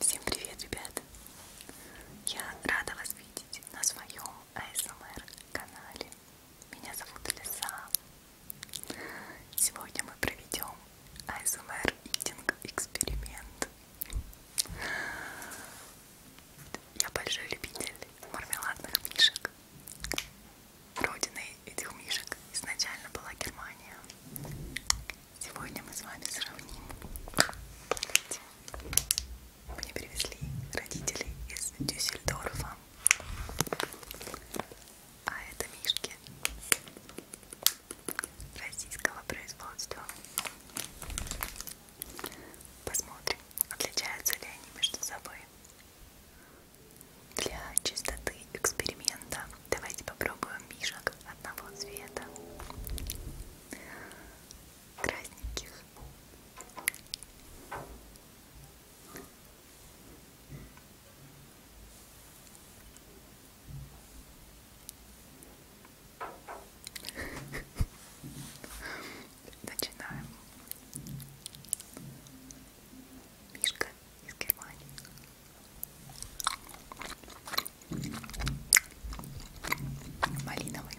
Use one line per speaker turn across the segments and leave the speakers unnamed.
Всем привет, ребята! Я рада вас видеть на своем ASMR-канале. Меня зовут Лиса. Сегодня мы проведем ASMR Eating эксперимент. Я большой любитель мармеладных мишек. Родиной этих мишек изначально была Германия. Сегодня мы с вами сравним. Мне привезли родители из Дюссельдорфа. А это мишки российского производства. Посмотрим, отличаются ли они между собой. Для чистоты эксперимента Давайте попробуем мишек одного цвета. Красненьких. Начинаем. Мишка из Германии. Малиновый.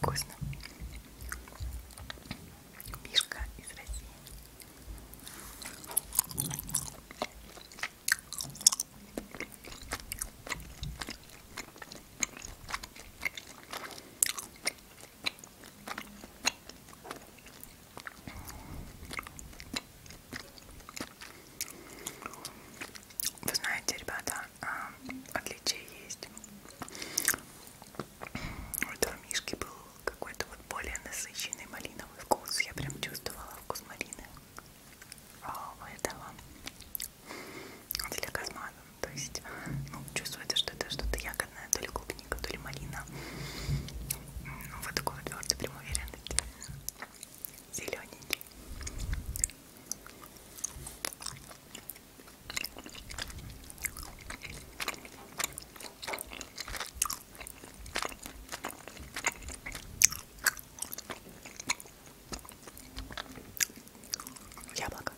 Вкусно. Мишка из России. Вы знаете, ребята, а, отличие есть. У этого мишки был какой-то вот более насыщенный малиновый вкус. Я прям чувствовала вкус малины. А у этого для казмана. То есть, ну, чувствуется, что это что-то ягодное, то ли клубника, то ли малина. Ну, вот такой вот твердый, прям уверен. Зелененький. Яблоко.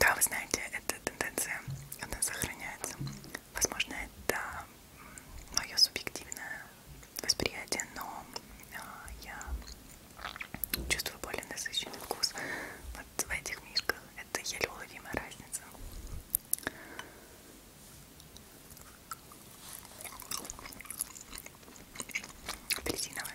Да, вы знаете, эта тенденция, она сохраняется. Возможно, это мое субъективное восприятие, но а, я чувствую более насыщенный вкус вот в этих мишках. Это еле уловимая разница. Апельсиновый.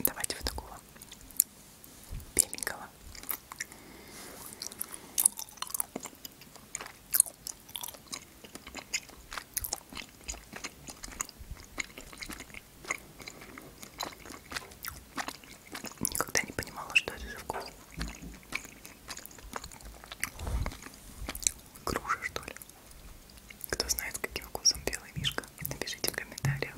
Давайте вот такого беленького. Никогда не понимала, что это за вкус. Груша, что ли? Кто знает, каким вкусом белый мишка, напишите в комментариях.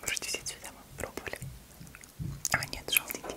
Вроде все цвета мы пробовали. А нет, желтенький.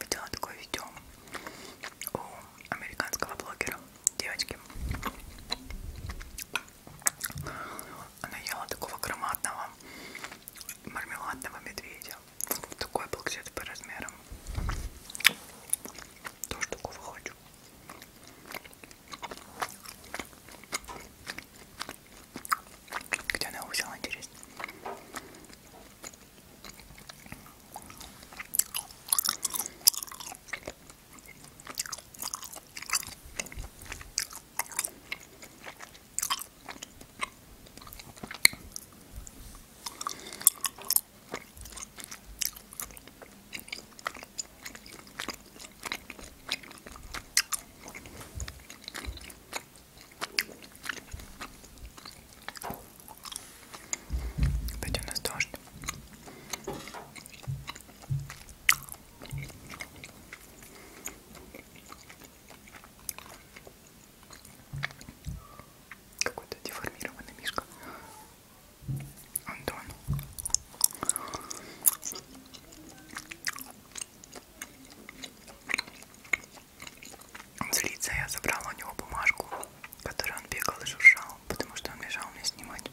Видела такое видео у американского блогера девочки она ела такого громадного мармеладного медведя. Такой был где-то по размерам. Тоже такого хочу. Где она его взяла, интересно? Кстати, у нас дождь. Какой-то деформированный мишка. Антон. Он злится, я забрала у него бумажку, которую он бегал и шуршал, потому что он мешал мне снимать.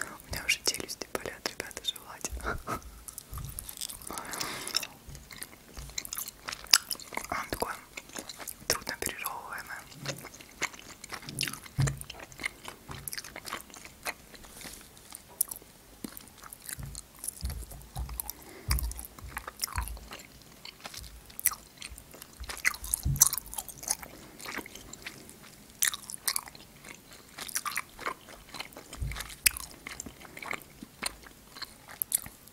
У меня уже челюсти болят, ребята, желательно. Он такой трудно пережевываемый.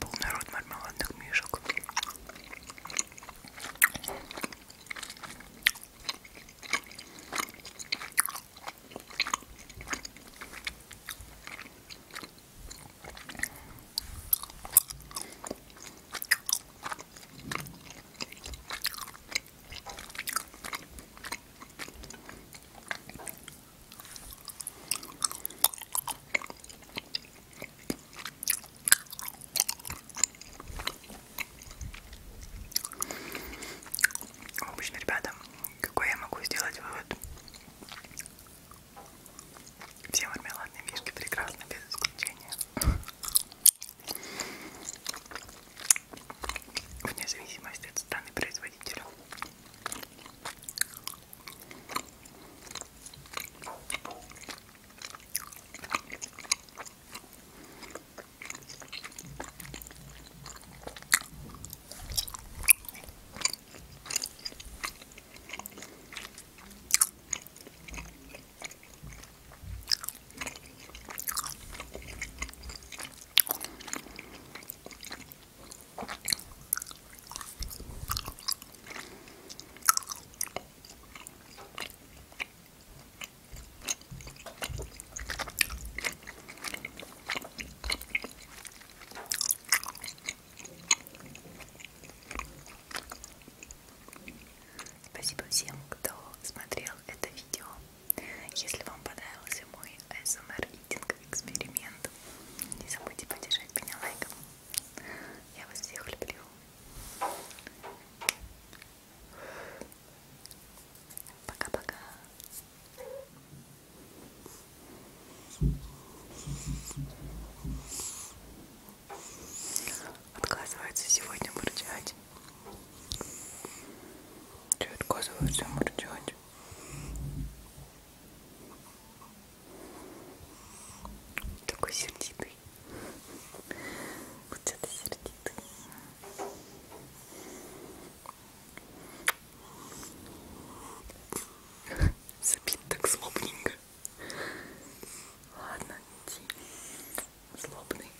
Полный рот мармеладных мишек. Обычно, ребята, какой я могу сделать вывод? Все мармеладные мишки прекрасны без исключения вне зависимости от страны производителя. Спасибо всем, кто смотрел это видео. Если вам понравился мой ASMR Eating эксперимент, не забудьте поддержать меня лайком. Я вас всех люблю. Пока-пока. Отказывается сегодня бурчать. Че отказываю всем делать? Такой сердитый. Вот это сердитый. Забит так злобненько. Ладно, иди. Злобный.